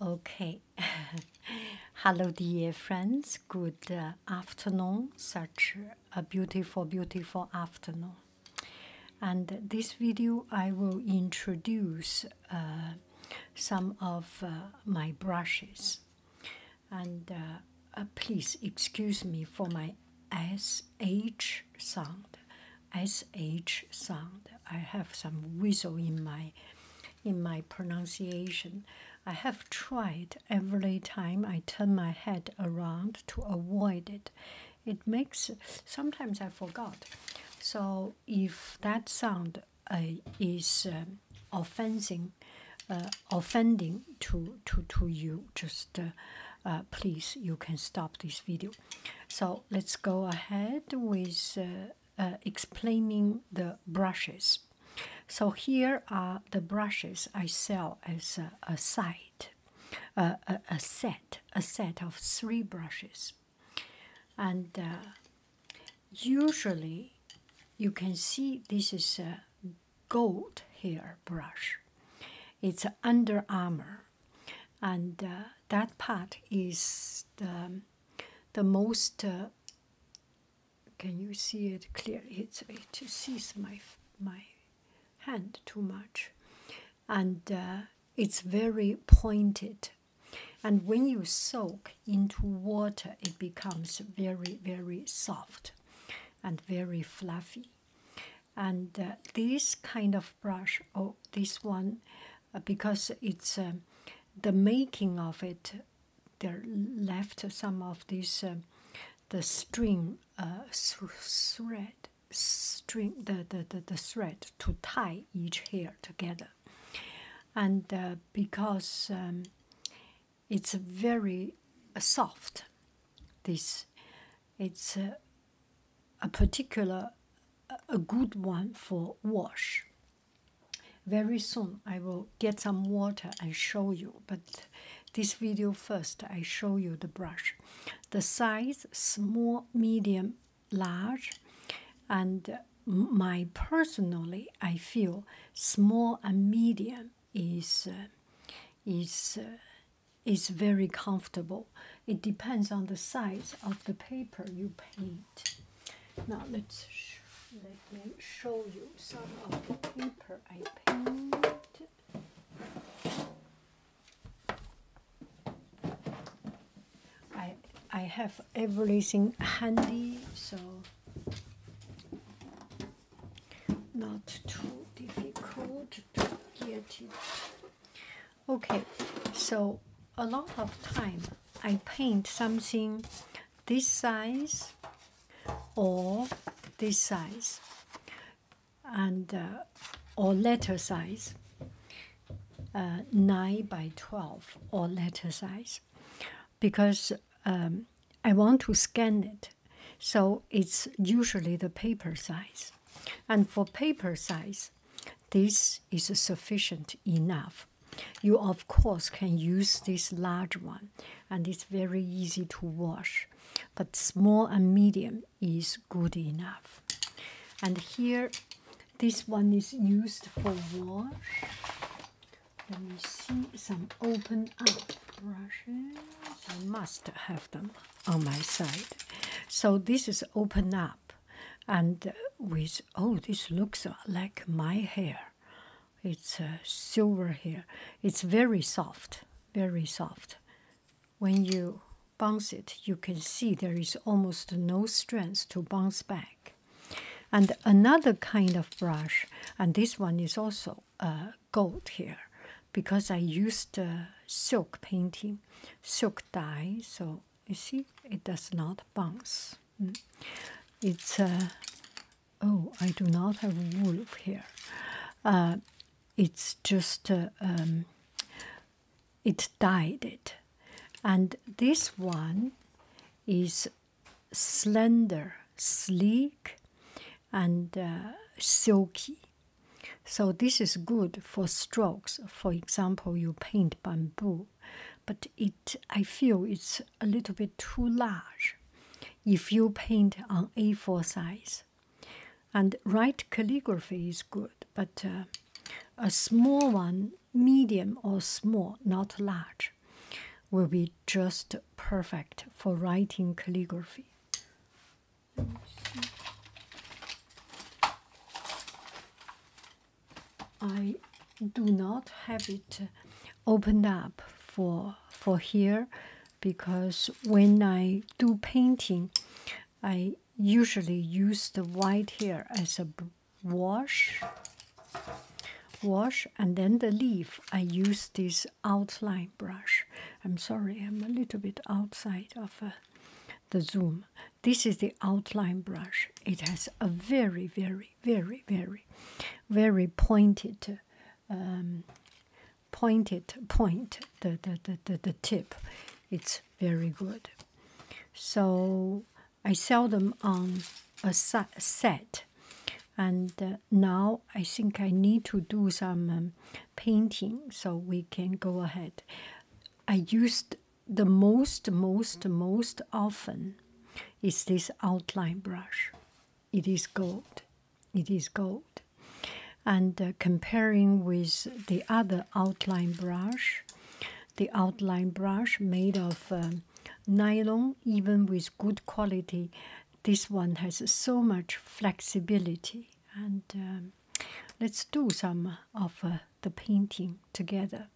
Okay. Hello, dear friends. Good uh, afternoon. Such a beautiful, beautiful afternoon. And this video, I will introduce uh, some of uh, my brushes. And please excuse me for my SH sound. SH sound. I have some whistle in my in my pronunciation. I have tried every time I turn my head around to avoid it. It makes sometimes I forgot. So if that sound uh, is um, uh, offending, to to to you, just uh, please you can stop this video. So let's go ahead with uh, explaining the brushes. So here are the brushes I sell as a, set, a set of three brushes, and uh, usually you can see this is a gold hair brush. It's Under Armour, and uh, that part is the um, the most uh, can you see it clearly it's, it sees my my hand too much and uh, it's very pointed and when you soak into water it becomes very very soft and very fluffy and uh, this kind of brush oh this one because it's um, the making of it they left some of this uh, the string uh, thread string the, the, the, thread to tie each hair together and uh, because um, it's very soft this it's a particular a good one for wash very soon I will get some water and show you, but this video first I show you the brush. The size small, medium, large, and my personally I feel small and medium is uh, is uh, is very comfortable. It depends on the size of the paper you paint. Now let's let me show you some of the paper I painted. I I have everything handy, so not too difficult to get it. Okay, so a lot of time I paint something this size or this size and uh, or letter size uh, 9 by 12 or letter size because um, I want to scan it so it's usually the paper size and for paper size this is sufficient enough. You, of course, can use this large one, and it's very easy to wash, but small and medium is good enough. And here, this one is used for wash. Let me see some open up brushes. I must have them on my side. So, this is open up and with oh this looks like my hair it's uh, silver hair it's very soft very soft when you bounce it you can see there is almost no strength to bounce back and another kind of brush and this one is also uh, gold here because i used uh, silk painting silk dye so you see it does not bounce Mm. It's uh, oh, I do not have a wolf here. Uh, it's just uh, um, it dyed it, and this one is slender, sleek, and uh, silky. So this is good for strokes. For example, you paint bamboo but it I feel it's a little bit too large if you paint on A4 size. And write calligraphy is good, but uh, a small one, medium or small, not large, will be just perfect for writing calligraphy. I do not have it opened up for for here because when I do painting, I usually use the white here as a wash wash and then the leaf i use this outline brush i'm sorry i'm a little bit outside of uh, the zoom this is the outline brush it has a very very very, very, very, pointed, um, pointed point. The the, the the tip, it's very good. So I sell them on a set, and uh, now I think I need to do some um, painting. So we can go ahead. I used the most, most, most often is this outline brush. It is gold. It is gold. And uh, comparing with the other outline brush, the outline brush made of um, nylon, even with good quality, this one has so much flexibility. And um, let's do some of uh, the painting together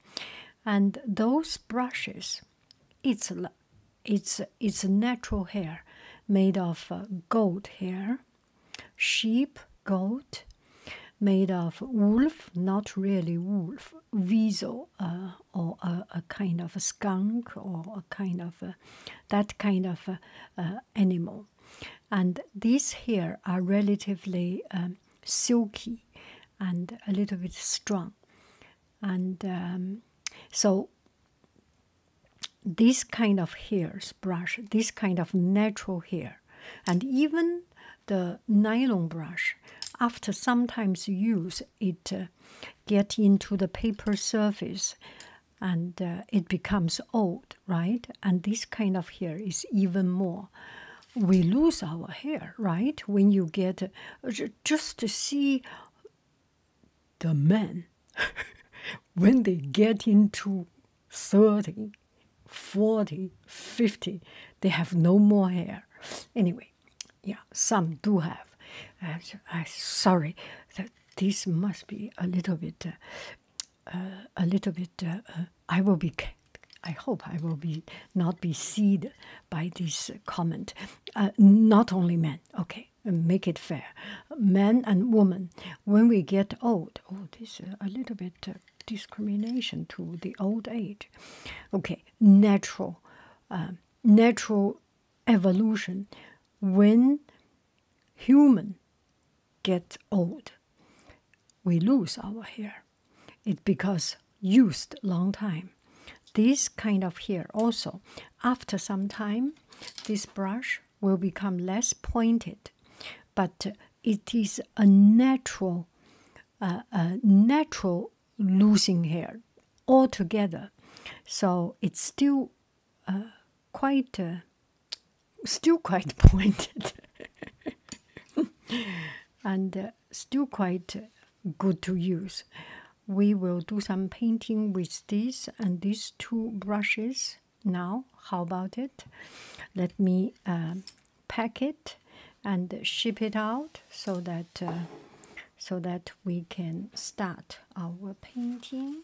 and those brushes it's it's it's natural hair made of uh, goat hair sheep goat made of wolf not really wolf weasel uh, or a, kind of a skunk or a kind of that kind of animal and these here are relatively um, silky and a little bit strong. And um, so, this kind of hairs brush, this kind of natural hair, and even the nylon brush, after sometimes use, it uh, get into the paper surface and uh, it becomes old, right? And this kind of hair is even more we lose our hair, right? When you get uh, just to see the men when they get into 30, 40, 50, they have no more hair. Anyway, yeah, some do have. I'm sorry that this must be a little bit. Uh, uh, a little bit. I will be I hope I will be not be seed by this comment. Uh, not only men, okay, make it fair. Men and women, when we get old, oh, this uh, a little bit uh, discrimination to the old age. Okay, natural, um, natural evolution. When human get old, we lose our hair. It becomes used long time. This kind of hair also, after some time, this brush will become less pointed, but it is a natural, a natural losing hair altogether. So it's still uh, quite, uh, still quite pointed, and uh, still quite good to use. We will do some painting with this and these two brushes now. How about it? Let me uh, pack it and ship it out so that uh, so that we can start our painting.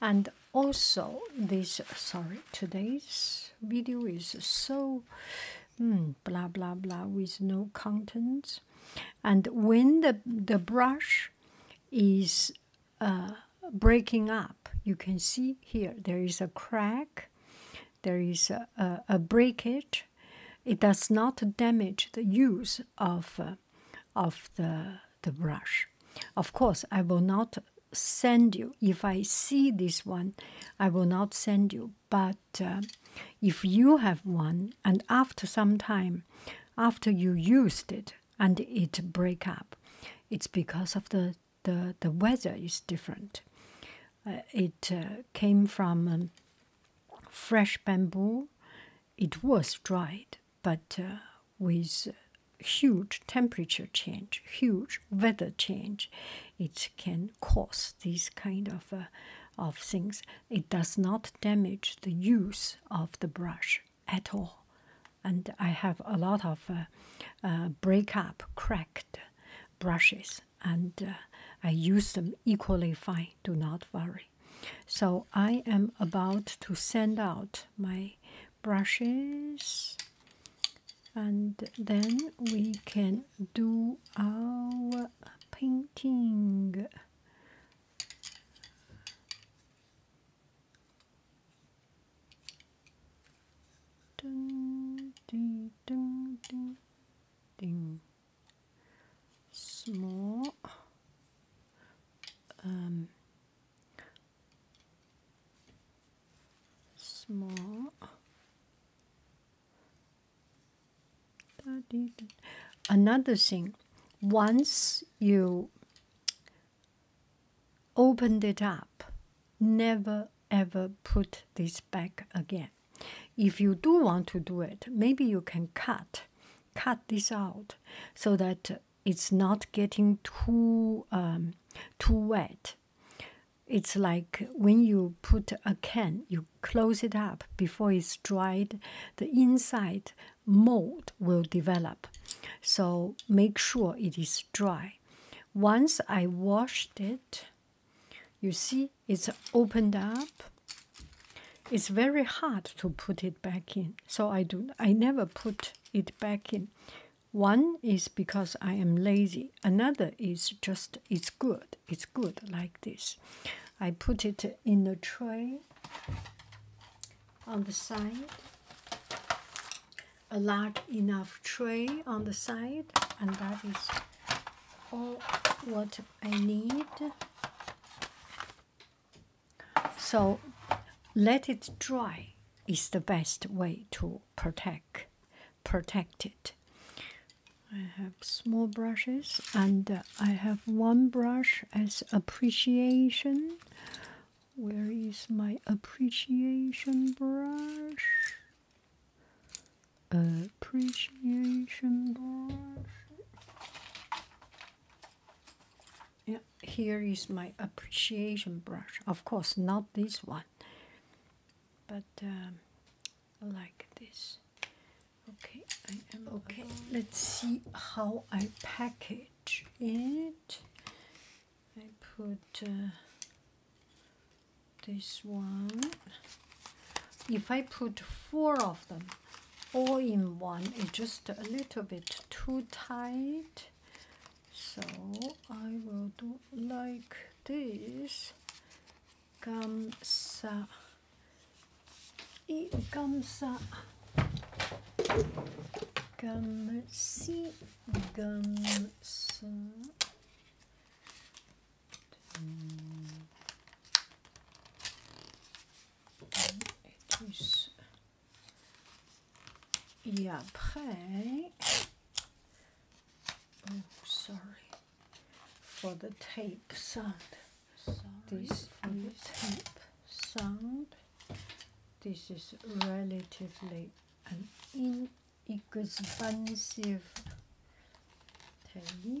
And also this sorry today's video is so Hmm, blah blah blah with no contents and when the the brush is uh, breaking up you can see here there is a crack there is a, a, breakage it does not damage the use of uh, of the the brush of course i will not send you if i see this one i will not send you but uh, if you have one and after some time after you used it and it break up it's because of the the, the weather is different uh, it uh, came from um, fresh bamboo it was dried but with huge temperature change huge weather change it can cause these kind of, uh, of things. It does not damage the use of the brush at all. And I have a lot of uh, uh, break up, cracked brushes, and I use them equally fine. Do not worry. So I am about to send out my brushes, and then we can do our painting. Dun, dee, dun, ding, ding. Small. Um, small Another thing, once you opened it up, never ever put this back again. If you do want to do it, maybe you can cut, cut this out so that it's not getting too um, too wet. It's like when you put a can, you close it up before it's dried, the inside mold will develop. So make sure it is dry. Once I washed it, you see it's opened up. It's very hard to put it back in. So I do I never put it back in. One is because I am lazy. Another is just it's good. It's good like this. I put it in a tray on the side, a large enough tray on the side, and that is all what I need. So let it dry is the best way to protect protect it. I have small brushes, and uh, I have one brush as appreciation. Where is my appreciation brush? Appreciation brush. Yeah, here is my appreciation brush. Of course, not this one, but um, like this. Okay, okay. Let's see how I package it. I put uh, this one. If I put four of them all in one, it's just a little bit too tight. So I will do like this. Gamsa. et comme ça, comme si, comme ça. Et, puis et après, oh sorry, for the tape sound. This for the tape sound. This is relatively an inexpensive tape.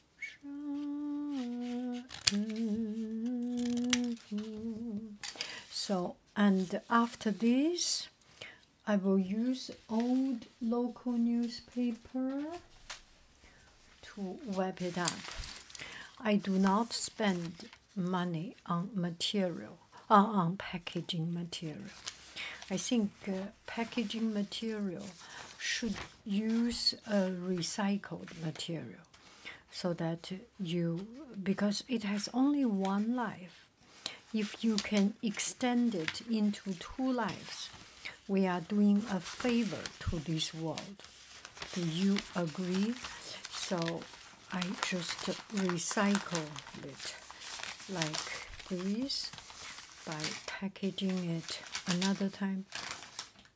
so and after this i will use old local newspaper to wrap it up i do not spend money on material uh, on packaging material i think uh, packaging material should use a recycled material so that you because it has only one life if you can extend it into two lives we are doing a favor to this world do you agree so i just recycle it like this by packaging it another time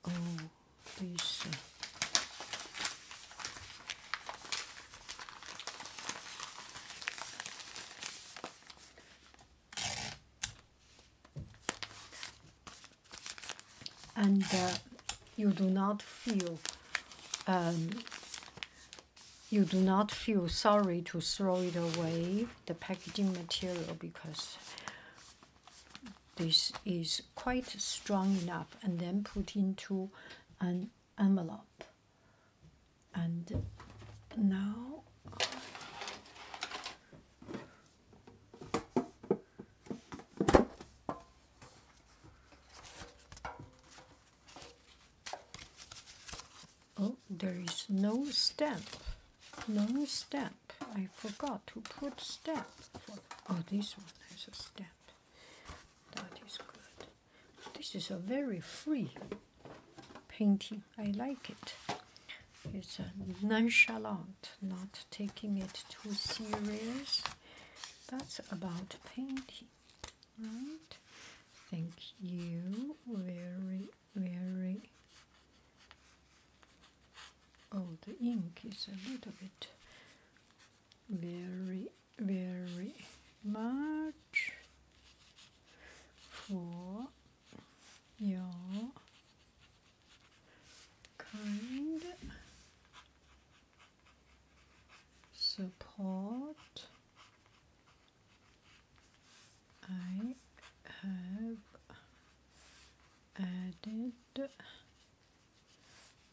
Oh, and uh, you do not feel um, you do not feel sorry to throw it away the packaging material because this is quite strong enough and then put into an envelope and now oh there is no stamp no step. I forgot to put step. oh, this one has a step. That is good. This is a very free painting. I like it. It's a nonchalant, not taking it too serious. That's about painting, right? Thank you very, very Oh, the ink is a little bit very, very much for your kind support. I have added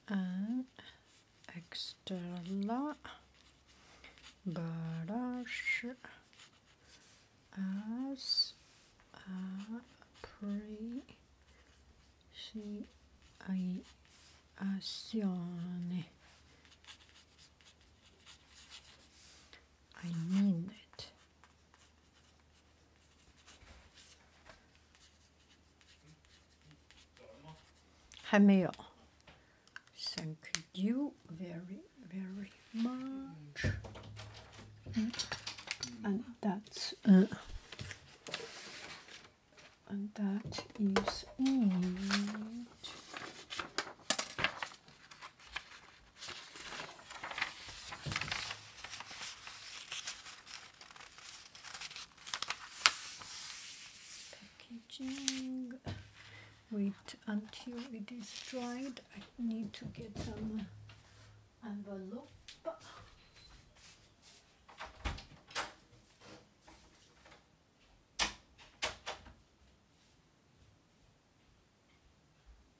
an extra brush as a appreciation. I mean it. Thank you very, very much. And that's uh, and that is it. Packaging. Wait until it is dried. I need to get some envelope.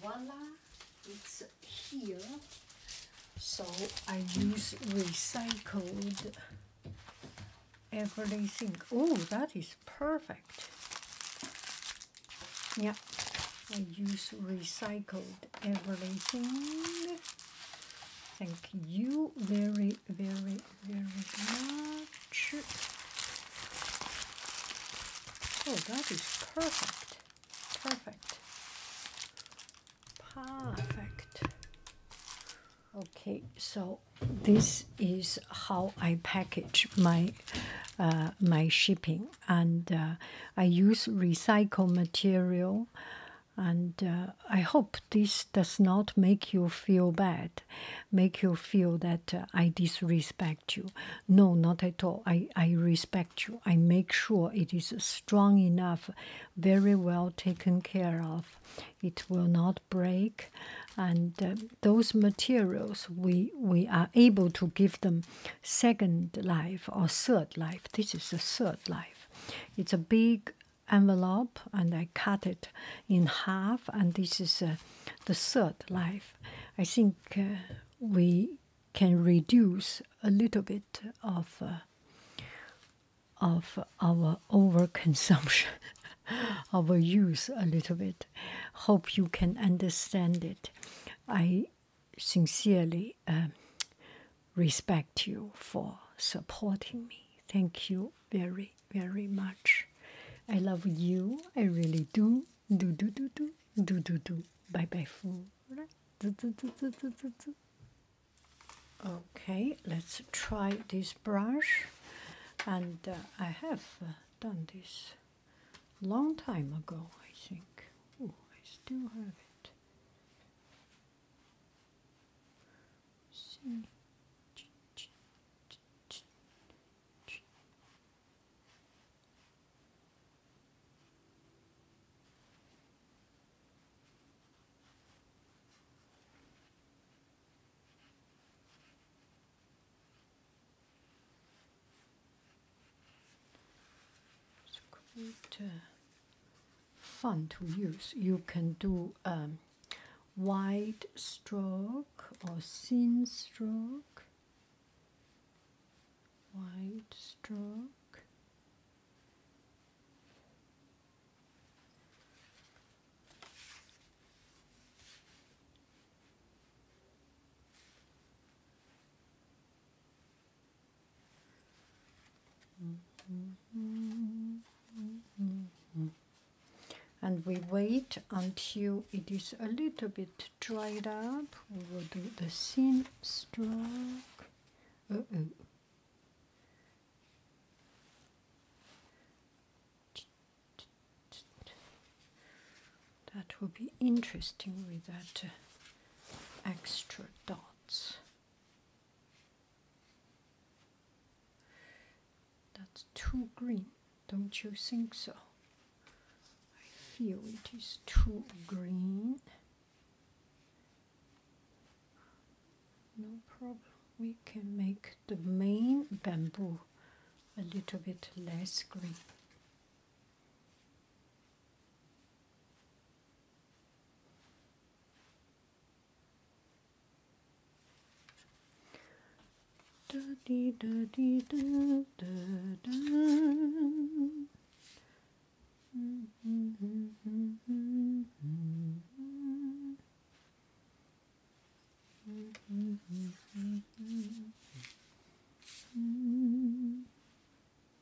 voilà. it's here. So I use recycled everything. Oh, that is perfect. Yeah, I use recycled everything. Thank you very, very, very much. Oh, that is perfect. Perfect. Perfect. Okay, so this is how I package my uh, my shipping and uh, I use recycled material. And uh, I hope this does not make you feel bad, make you feel that uh, I disrespect you. No, not at all. I, I respect you. I make sure it is strong enough, very well taken care of. It will not break. And those materials, we, we are able to give them second life or third life. This is the third life. It's a big envelope, and I cut it in half, and this is uh, the third life. I think uh, we can reduce a little bit of. Uh, of our overconsumption, our use a little bit. Hope you can understand it. I sincerely uh, respect you for supporting me. Thank you very, very much. I love you. I really do. Do, do, do, do. Do, do, do. Bye, bye, fool. Do, do, do, do, do, do, do. Okay, let's try this brush. And uh, I have uh, done this a long time ago, I think. Oh, I still have it. It's quite uh, fun to use. You can do um, wide stroke or thin stroke, wide stroke and we wait until it is a little bit dried up. We will do the seam stroke. That will be interesting with that uh, extra dots. That's too green, don't you think so? I feel it is too green. No problem. We can make the main bamboo a little bit less green. Da dee da dee da da da. Mm -hmm, mm -hmm, mm -hmm. Mm-hmm.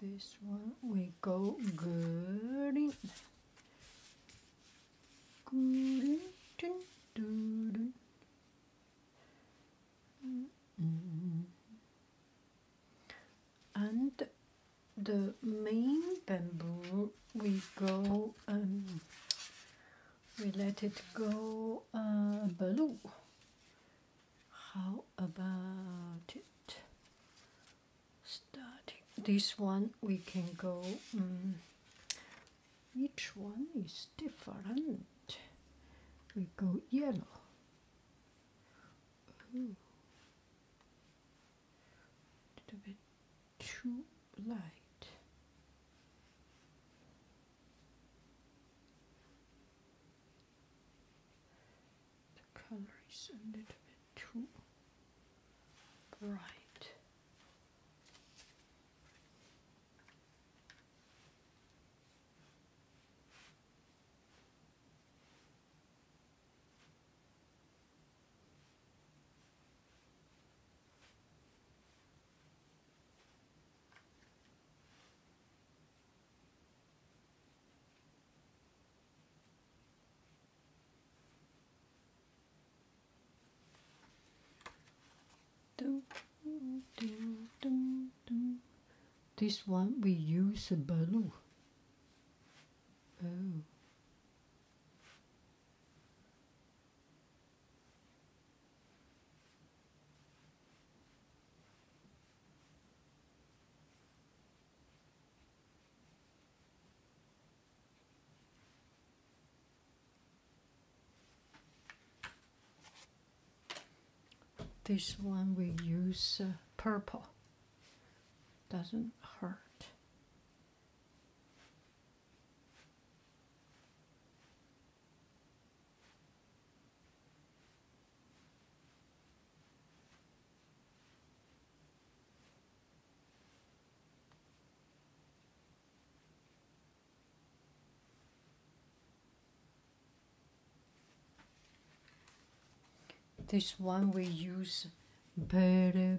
This one we go good in. Good in. Dun, And the main bamboo we go um we let it go uh, blue how about it starting this one we can go mm, each one is different we go yellow Ooh. little bit too light. The color is a little bit too bright. This one we use a balloon. Oh. This one we use uh, purple. Doesn't hurt. This one we use better.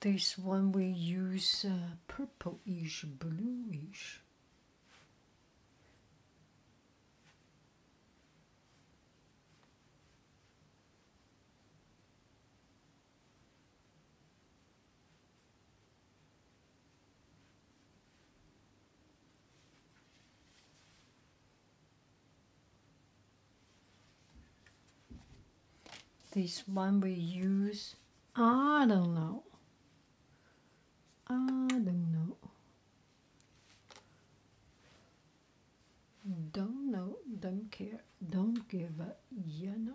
This one we use uh, purplish, bluish. This one we use I don't know. I don't know. Don't know, don't care, don't give a you know.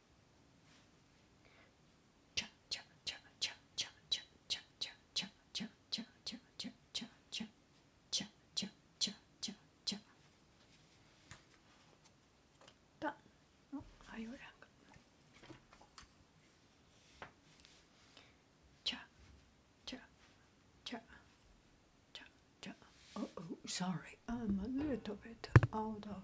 Oh, cha cha cha cha cha cha cha cha cha cha cha cha cha cha cha cha cha Done. Oh, har gjorde jag. Cha cha cha cha cha. Oh oh, sorry. Um, I'm a little bit out of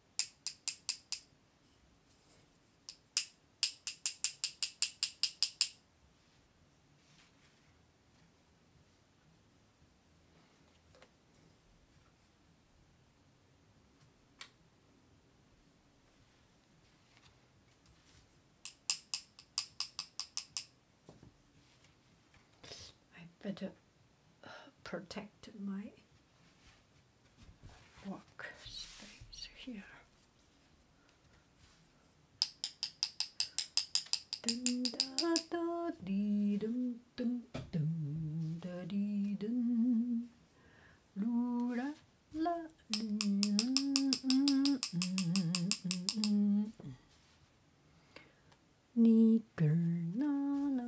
I better protect my work space here. Dun, da, da, dee, dun, dun, dun, da, dun. Loo, la, la, dun, mm, mm, mm, Nigger, na, na.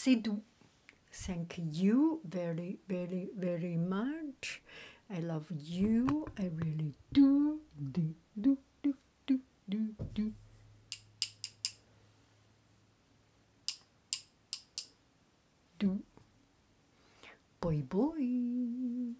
Sidhu, thank you very, very, very much. I love you. I really do. Do, do, do, do, do, do. Do. Boy, boy.